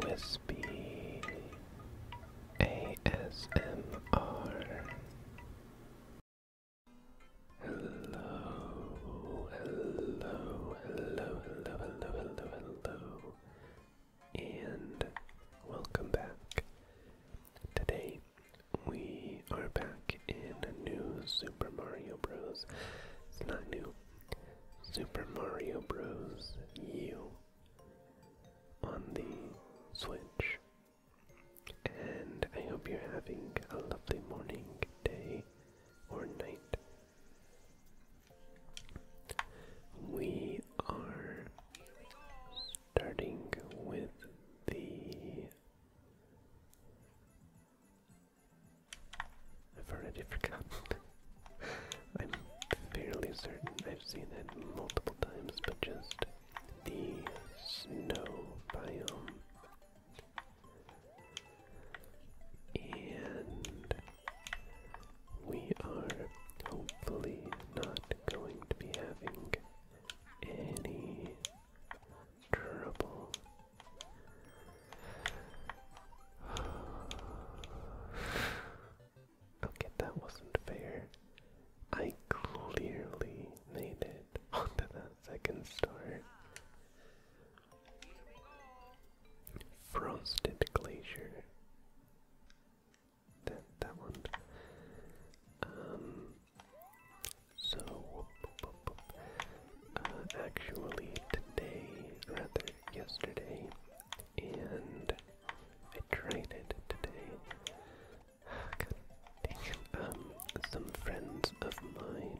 Whispy ASMR. Hello, hello, hello, hello, hello, hello, hello, and welcome back. Today we are back in a new Super Mario Bros. It's not new, Super Mario Bros. U on the Switch. And I hope you're having a lovely morning, day, or night. We are starting with the I've already forgotten. I'm fairly certain I've seen it multiple times, but just the snow biome. And we are hopefully not going to be having any trouble Okay, that wasn't fair. I clearly made it onto that second star. Frosted Glacier. That that one. Um so uh, actually today rather yesterday and I tried it. today. Um, some friends of mine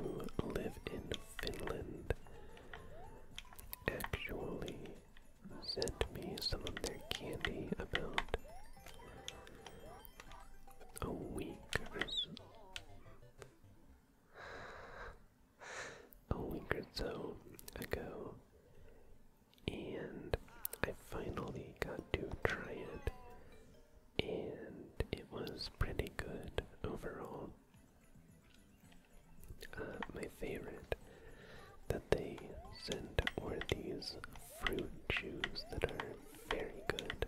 who live in Finland actually sent me some of their candy about a week or a week or so ago, and I finally got to try it, and it was pretty good overall. Uh, my favorite that they sent were these fruit chews that are very good.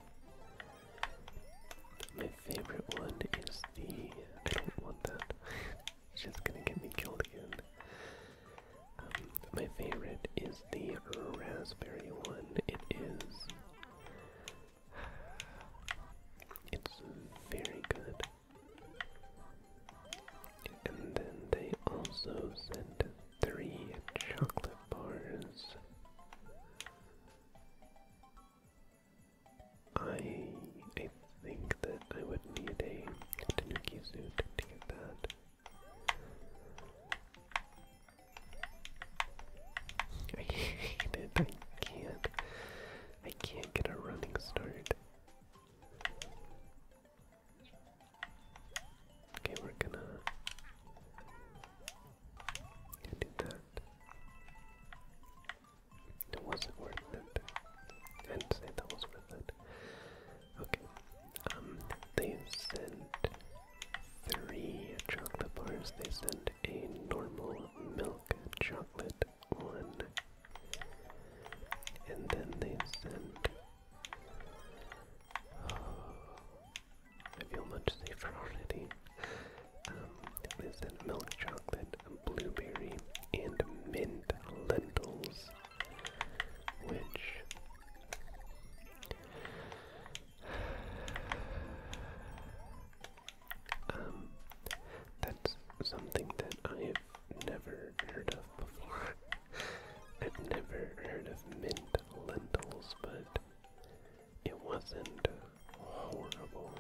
My favorite one is the. I don't want that. it's just gonna get me killed again. Um, my favorite is the raspberry one. It is. It's very good. And then they also sent three chocolate bars. I think that I would need a Tanuki suit to get that. I can't. I can't get a running start. Okay, we're gonna do that. It wasn't worth it. I didn't say that was worth it. Okay. Um, they sent three chocolate bars. They sent a normal milk chocolate one. And then they sent. I feel much safer already. Um, this is milk chocolate, blueberry, and mint lentils, which um, that's something that I've never heard of before. I've never heard of mint lentils, but it wasn't horrible.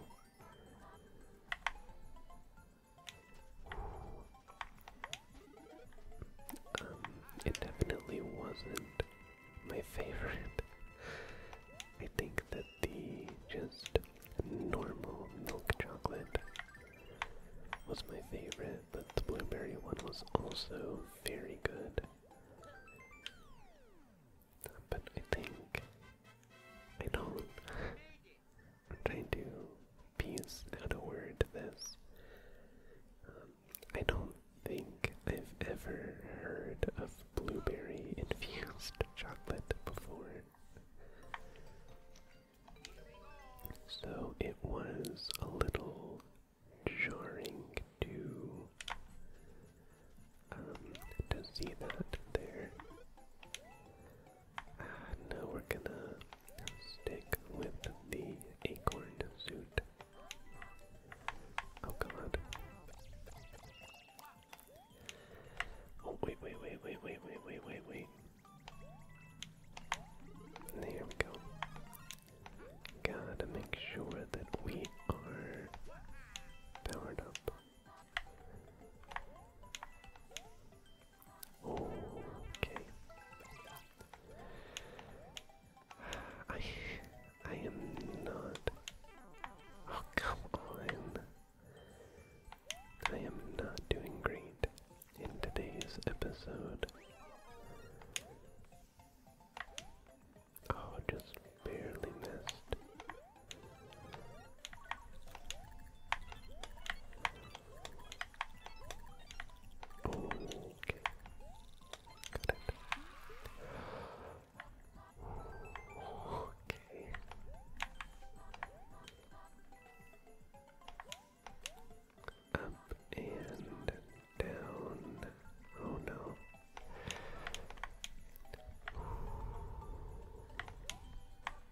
Um, it definitely wasn't my favorite. I think that the just normal milk chocolate was my favorite, but the blueberry one was also very good. But I think I don't I'm trying to piece out a word to this. Um, I don't think I've ever heard of blueberry infused chocolate before. So it was a little jarring to um, to see that there. Uh, now we're gonna stick with the acorn suit. Oh god. Oh wait, wait, wait, wait, wait, wait, wait, wait. There we go. Gotta make sure that we are powered up. Okay. I I am not Oh come on. I am not doing great in today's episode. Oh, just barely missed. Okay. Got it. Okay. Up and down. Oh no.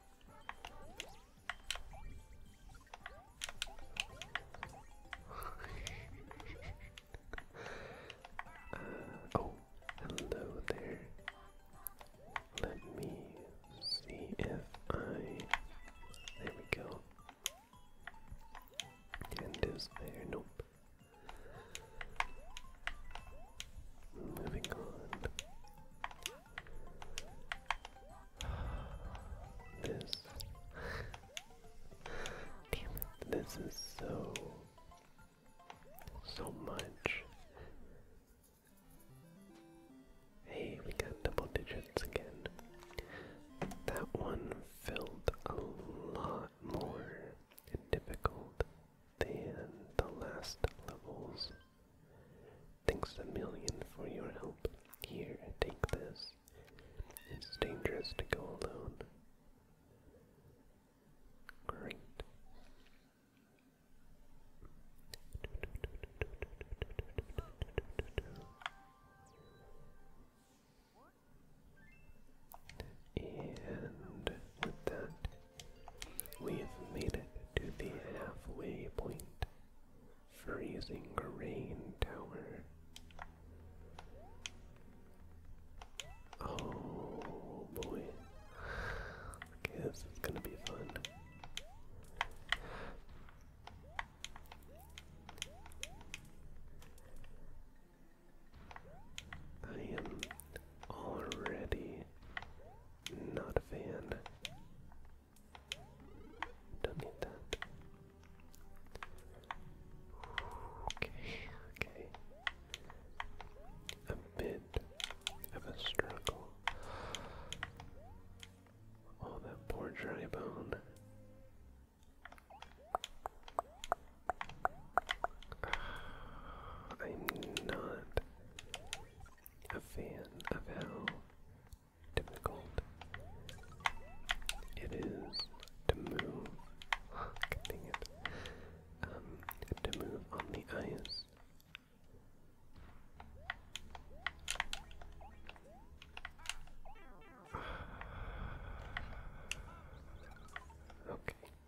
oh, hello there. Let me see if I. There we go. And is there? Nope. Moving on. This. Damn it. This is so. So much. Hey, we got double digits again. That one filled a lot more and difficult than the last levels. Thanks a million for your help. Here, take this. It's dangerous to go alone. Great. And with that, we have made it to the halfway point. Freezing Rain Tower. Oh boy. this is gonna be fun. I am already not a fan. Don't need that. Okay, okay. A bit of a struggle. Oh, that poor dry bone. I'm not a fan of how difficult it is to move. dang it. Um, to move on the ice. Okay.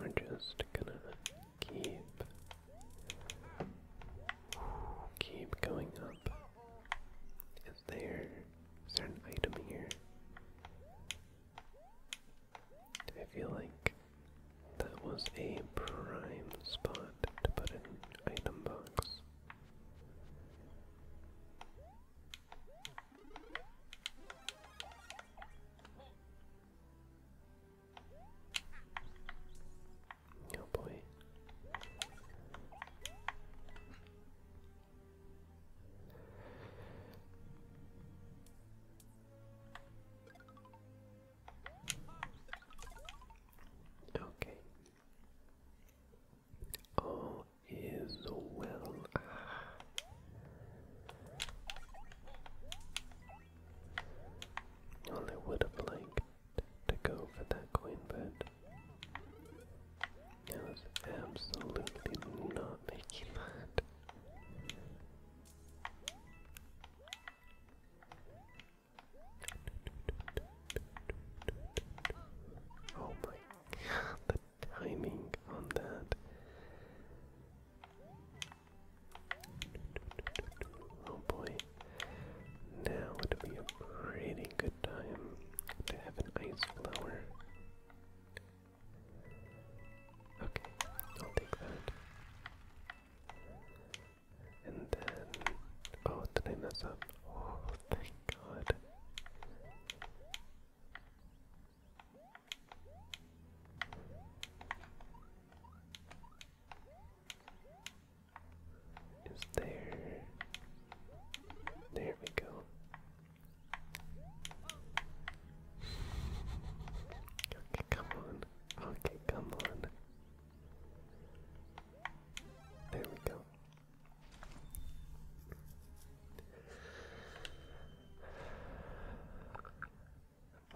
We're just gonna keep keep going up. Is there is there an item here? I feel like that was a prime spot to put an item box. Oh boy. Okay. All is well. Well, would have liked to go for that coin, but I was absolutely not making that. Oh my god, the timing on that. Oh boy. Now would be a pretty good time to have an ice flower. Okay, I'll take that. And then. Oh, did I mess up? Oh, thank God. Is there? There we go. Okay, come on. Okay, come on. There we go.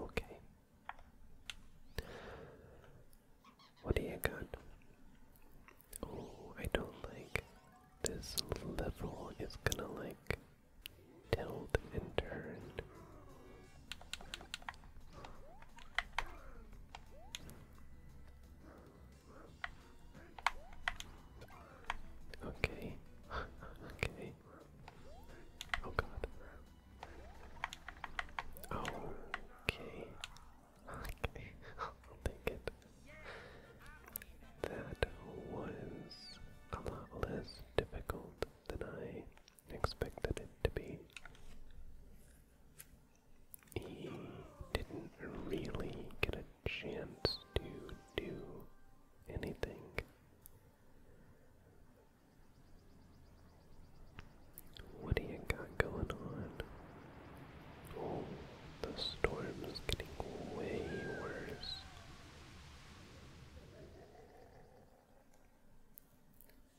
Okay. What do you got? Oh, I don't like this level. It's gonna like tilt and turn. Okay. okay. Oh god. Okay. Okay. I'll it. That was a lot less difficult than I expected it to be. He didn't really get a chance to do anything what do you got going on? Oh, the storm getting way worse.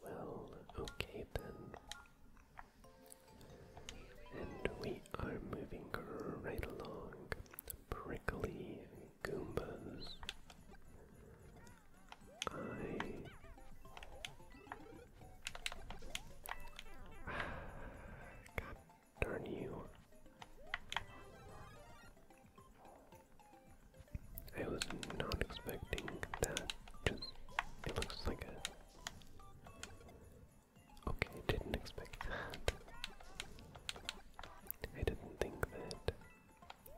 Well, okay then. And we are moving right along. Prickly Goombas. I God darn you. I was not expecting that. Just it looks like a Okay, didn't expect that. I didn't think that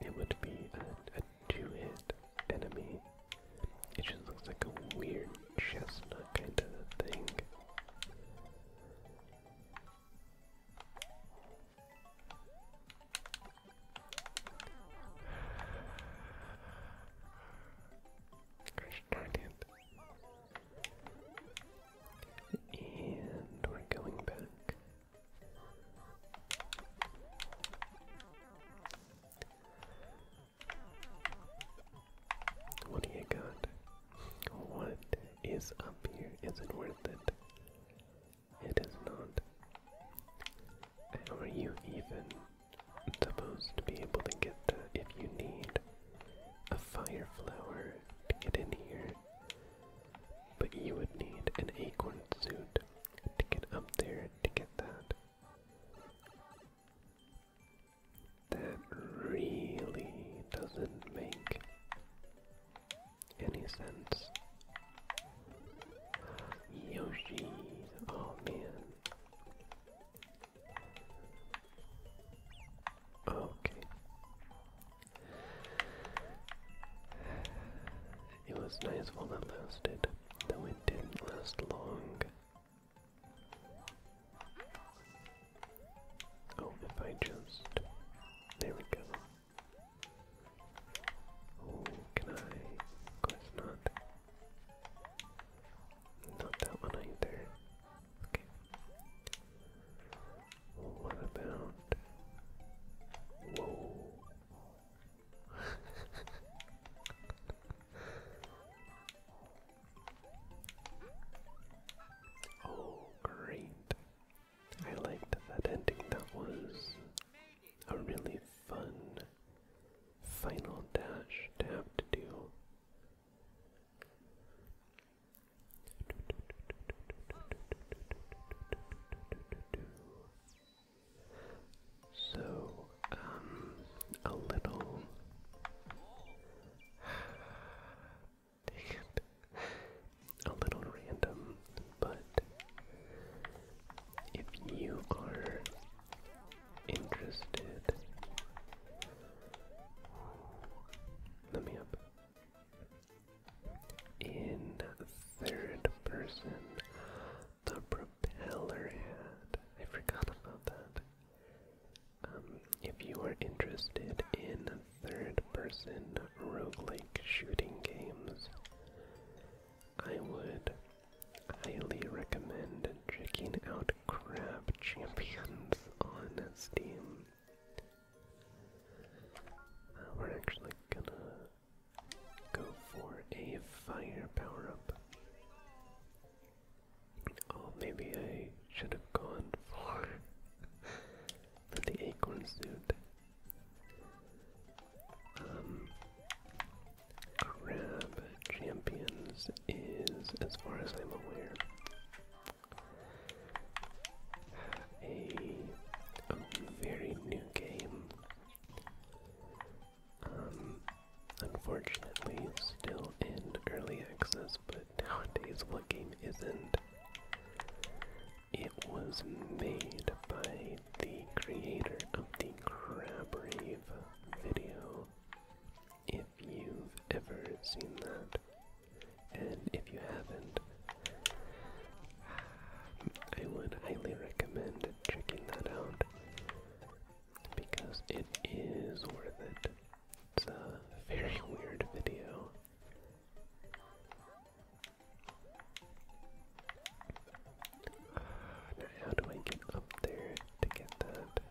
it would be a, two-hit enemy. It just looks like a weird chestnut kind of thing. Gosh darn And we're going back what do you got? What is up here? Is it worth it? It is not. are you even supposed to be able to get the if you need a fire flower to get in here? But you would need an acorn suit to get up there to get that. That really doesn't make any sense. Yoshi, oh man. Okay. It was nice while it lasted, though it didn't last long. Oh, if I just. There we go. Oh, can I? Of course not. Not that one either. Okay oh, great! I liked that ending. That was a really fun final dash to have to do. So, um, a little. A little random, but if you are interested, let me up in third person. The propeller hat. I forgot about that. Um, if you are interested in third person roguelike shooting games, I would highly recommend checking out Crab Champions on Steam. Uh, we're actually gonna go for a fire power up. Oh, maybe I should have gone for, the acorn suit. Um, grab champions is, as far as I'm aware, a, very new game. Um, unfortunately, still in early access, but nowadays, what game isn't? It was made by the creator of the Crab Rave video. If you've ever seen that, and if you haven't, um, I would highly recommend checking that out because it is worth it. It's a very weird video. now, how do I get up there to get that?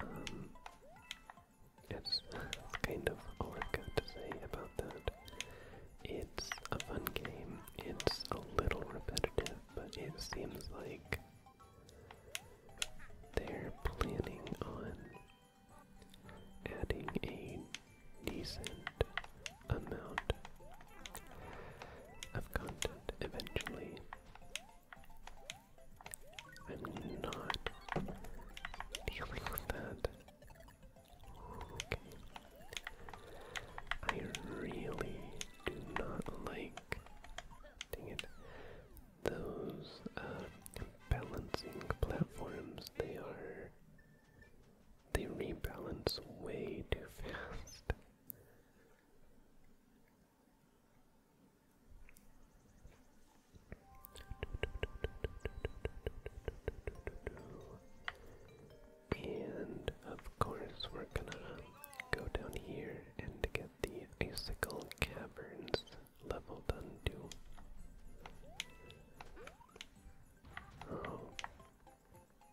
Um, kind of all I've got to say about that. It's a fun game. It's a little repetitive, but it seems like they're planning on adding a decent amount of content eventually. I'm not dealing with that. Okay. I really do not like dang it. Those uh, balancing platforms, they are. They rebalance way too fast. And of course, we're gonna go down here and get the Icicle Caverns level done Oh,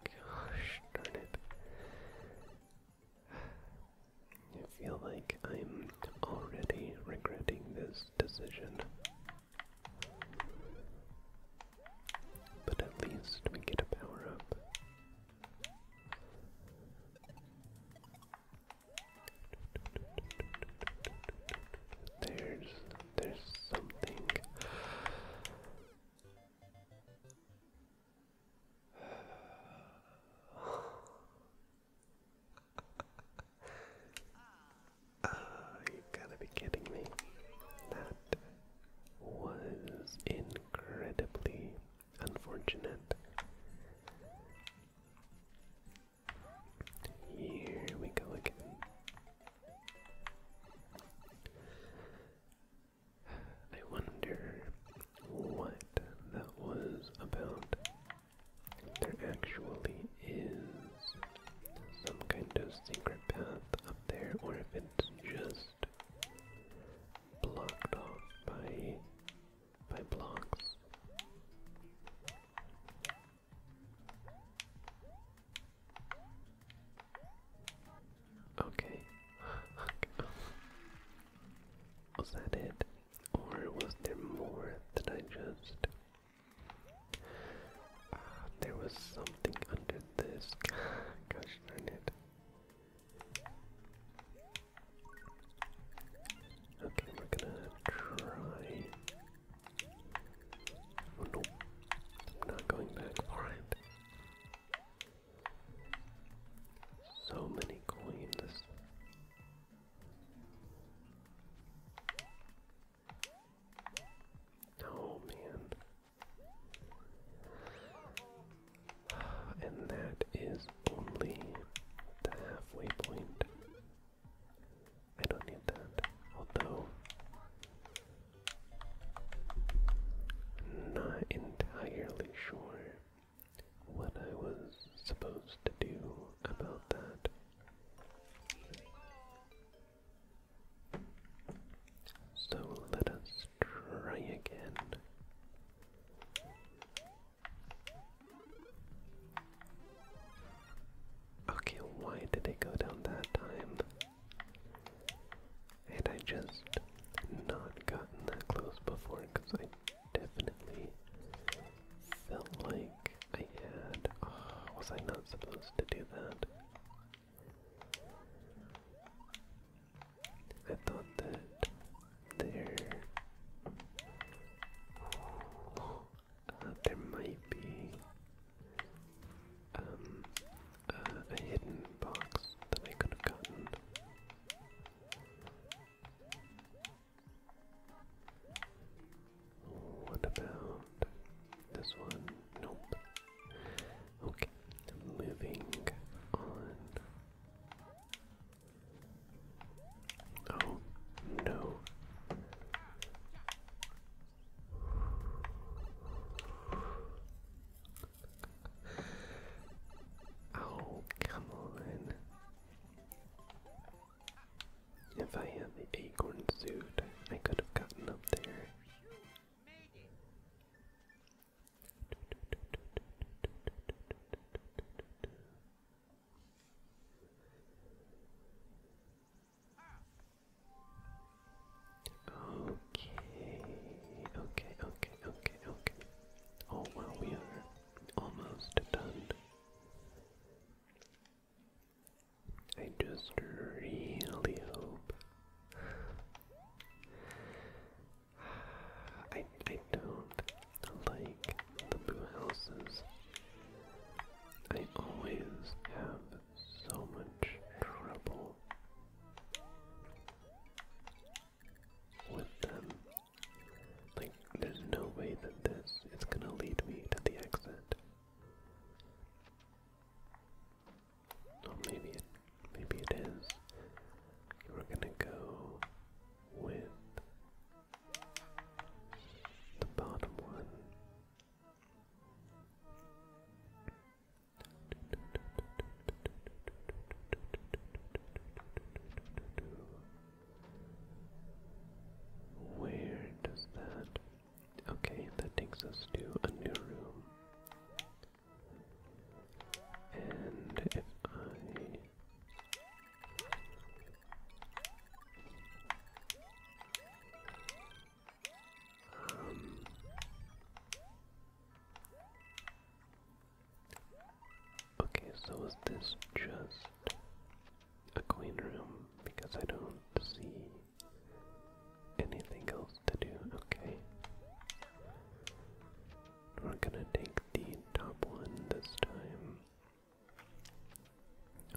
gosh darn it. I feel like I'm already regretting this decision. But at least we get a power up. There's there's something Ah, you gotta be kidding me. That was incredibly unfortunate. Here we go again. I wonder what that was about. There actually is some kind of secret path up there, or if it's just blocked off by by blocks. Okay. Was that it? Or was there more that I just... Ah, there was something under this. Gosh Okay, we're gonna try. Oh, no, I'm not going back. Alright. So many coins. Oh man. And that is only the halfway point. I don't need that. Although, not entirely sure what I was supposed to do about that. So let us try again. Okay, why did it go down that time? Had I just not gotten that close before? Because I definitely felt like I had. Oh, was I not supposed to do that? I thought that there. Uh, there might be um, uh, a hidden box that I could have gotten. What about this one? Nope. Okay, moving on. Oh, no. Oh, come on. If I had the acorn suit, I could have gotten up there. Okay, okay, okay, okay, okay. Oh we are almost done. I just really hope. I I don't like the blue houses. I always have so much trouble with them. Like, there's no way that this is gonna lead me to the exit. Or maybe it, maybe it is. We're gonna go with the bottom one. Where does that? Okay, that takes us to a new room. And if I. Um, Okay, so is this just a queen room? Because I don't see anything else to do. Okay. We're gonna take the top one this time.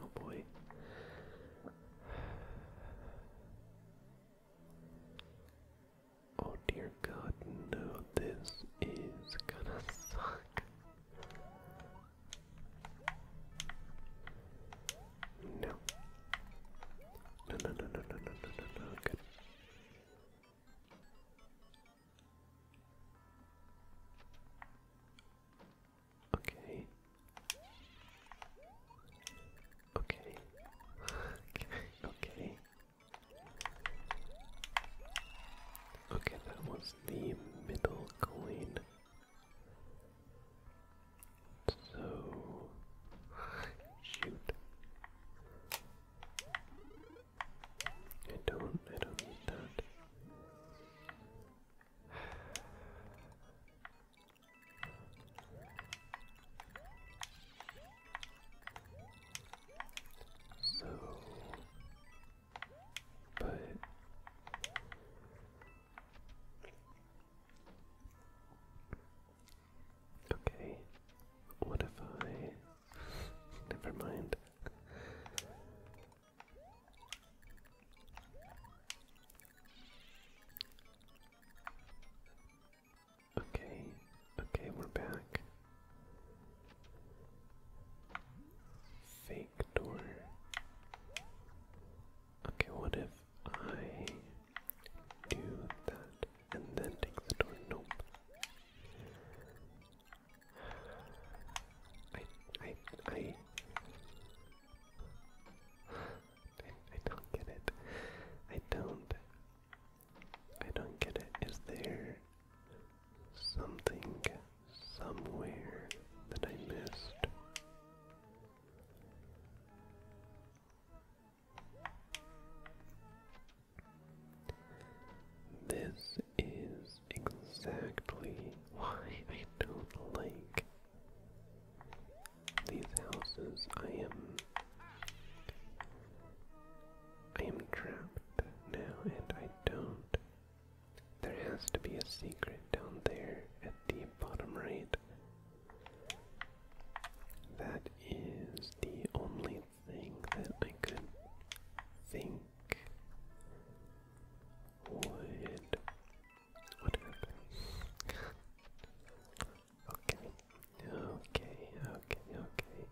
Oh boy. Oh dear god, no, this is gonna suck. No. No, no, no, no, no, no, no, Okay. Okay. okay. Okay. Okay, that was the middle coin. So, shoot. I don't, I don't need that. So but okay, what if I? Never mind. Okay, okay, we're back. Fake door. Okay, what if I do that and then take the door? Nope. I I I I, don't get it. I don't I don't get it. Is there something somewhere that I missed. This is exactly why I don't like these houses. I am I am trapped now and I don't there has to be a secret down there at the bottom right. That is the only thing that I could think What happened? okay, okay, okay, okay.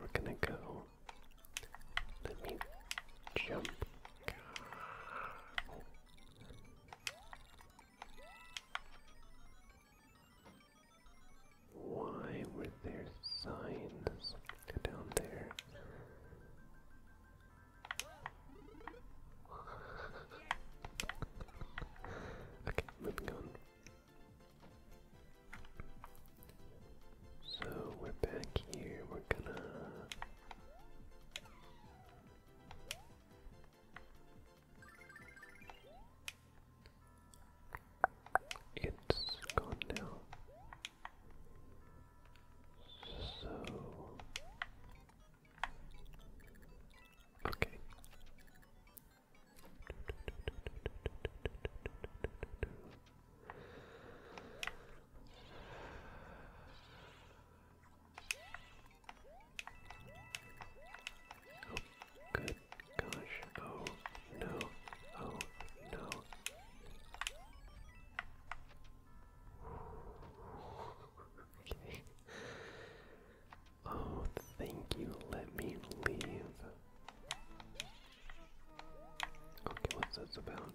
We're gonna go. Let me jump. Why were there signs down there? okay, moving on. So we're back here, we're gonna. It's gone now. So. Okay. Oh, good gosh. Oh, no. Oh, no. okay. Oh, thank you. Let me leave. Okay, what's this about?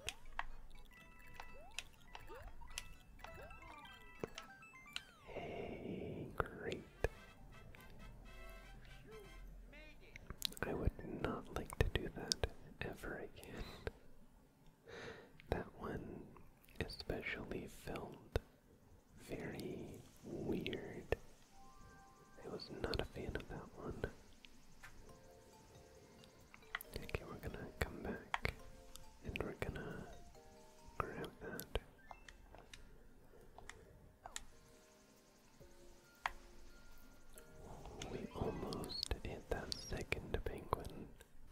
Hey, great. I would not like to do that ever again. That one especially filmed very weird. I was not a fan of that one. Okay, we're gonna come back and we're gonna grab that. We almost hit that second penguin.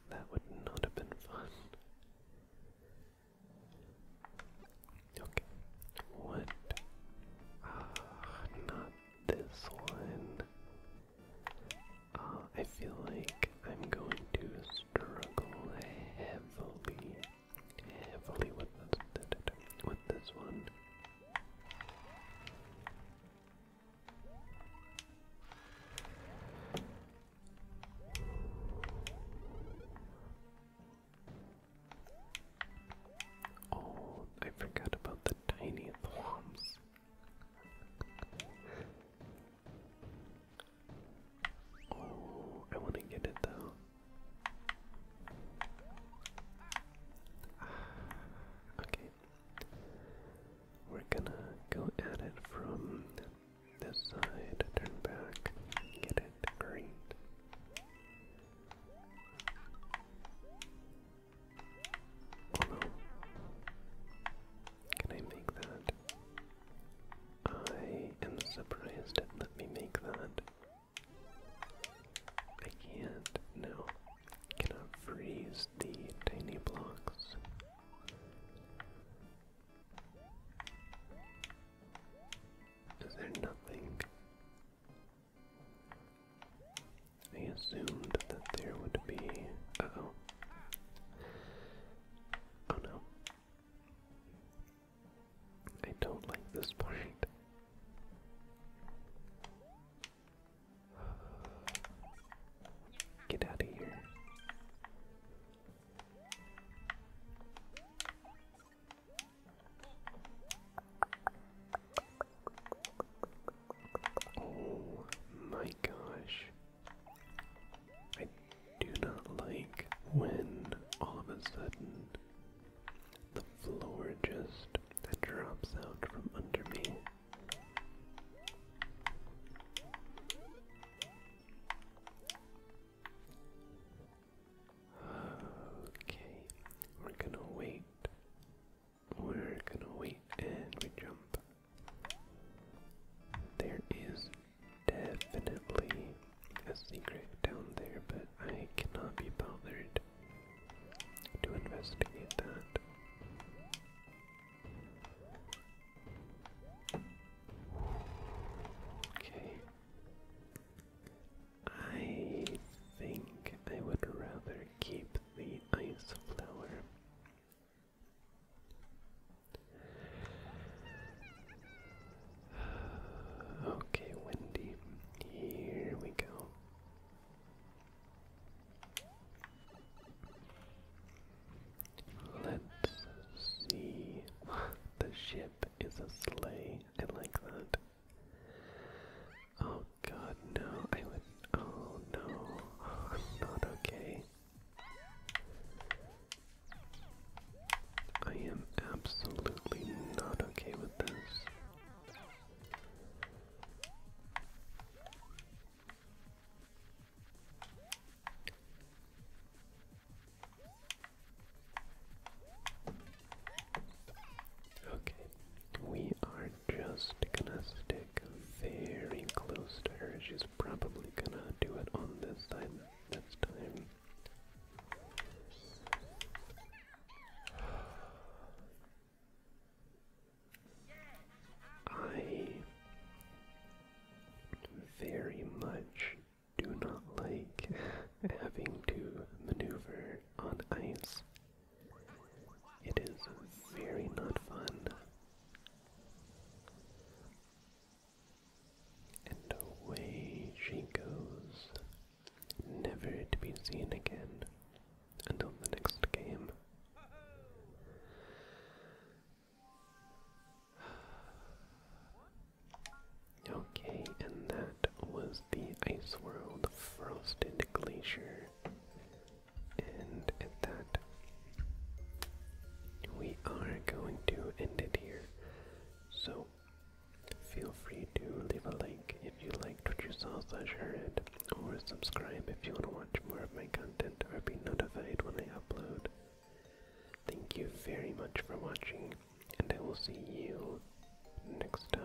That would not have been fun. Okay. What? Ah, not this one. Ah, I feel like I'm going to struggle heavily, heavily with this, with this one. Oh, I forgot about the tiny thwomps. Oh, I want to get it though. Okay. We're gonna go at it from this side, turn back, get it, great. Oh Can I make that? I am surprised let me make that. I can't, no. Cannot freeze the tiny blocks. Is there nothing? I assumed that there would be. Uh oh. Oh no. I don't like this point. Get out of here. Oh my gosh. I do not like when all of a sudden the floor just drops out from under me. Okay, we're gonna wait. We're gonna wait and we jump. There is definitely a secret down there, but I cannot be bothered to investigate that. Okay. I think I would rather keep the ice flower. Okay, Wendy, here we go. Let's see the ship is a sleigh. I like that. Oh god, no. I would. Oh no. I'm not okay. I am absolutely not okay with this. Okay, we are just gonna stick very close to her. She's probably gonna do it on this side this time. I very much do not like having to maneuver on ice. It is very not fun. And away she goes, never to be seen again until the next game. Okay, and that was the Ice World Frosted Glacier. And at that, we are going to end it here. So, feel free to leave a like if you liked what you saw share it, or subscribe if you want to watch more of my content or be notified when I upload. Thank you very much for watching, and I will see you next time.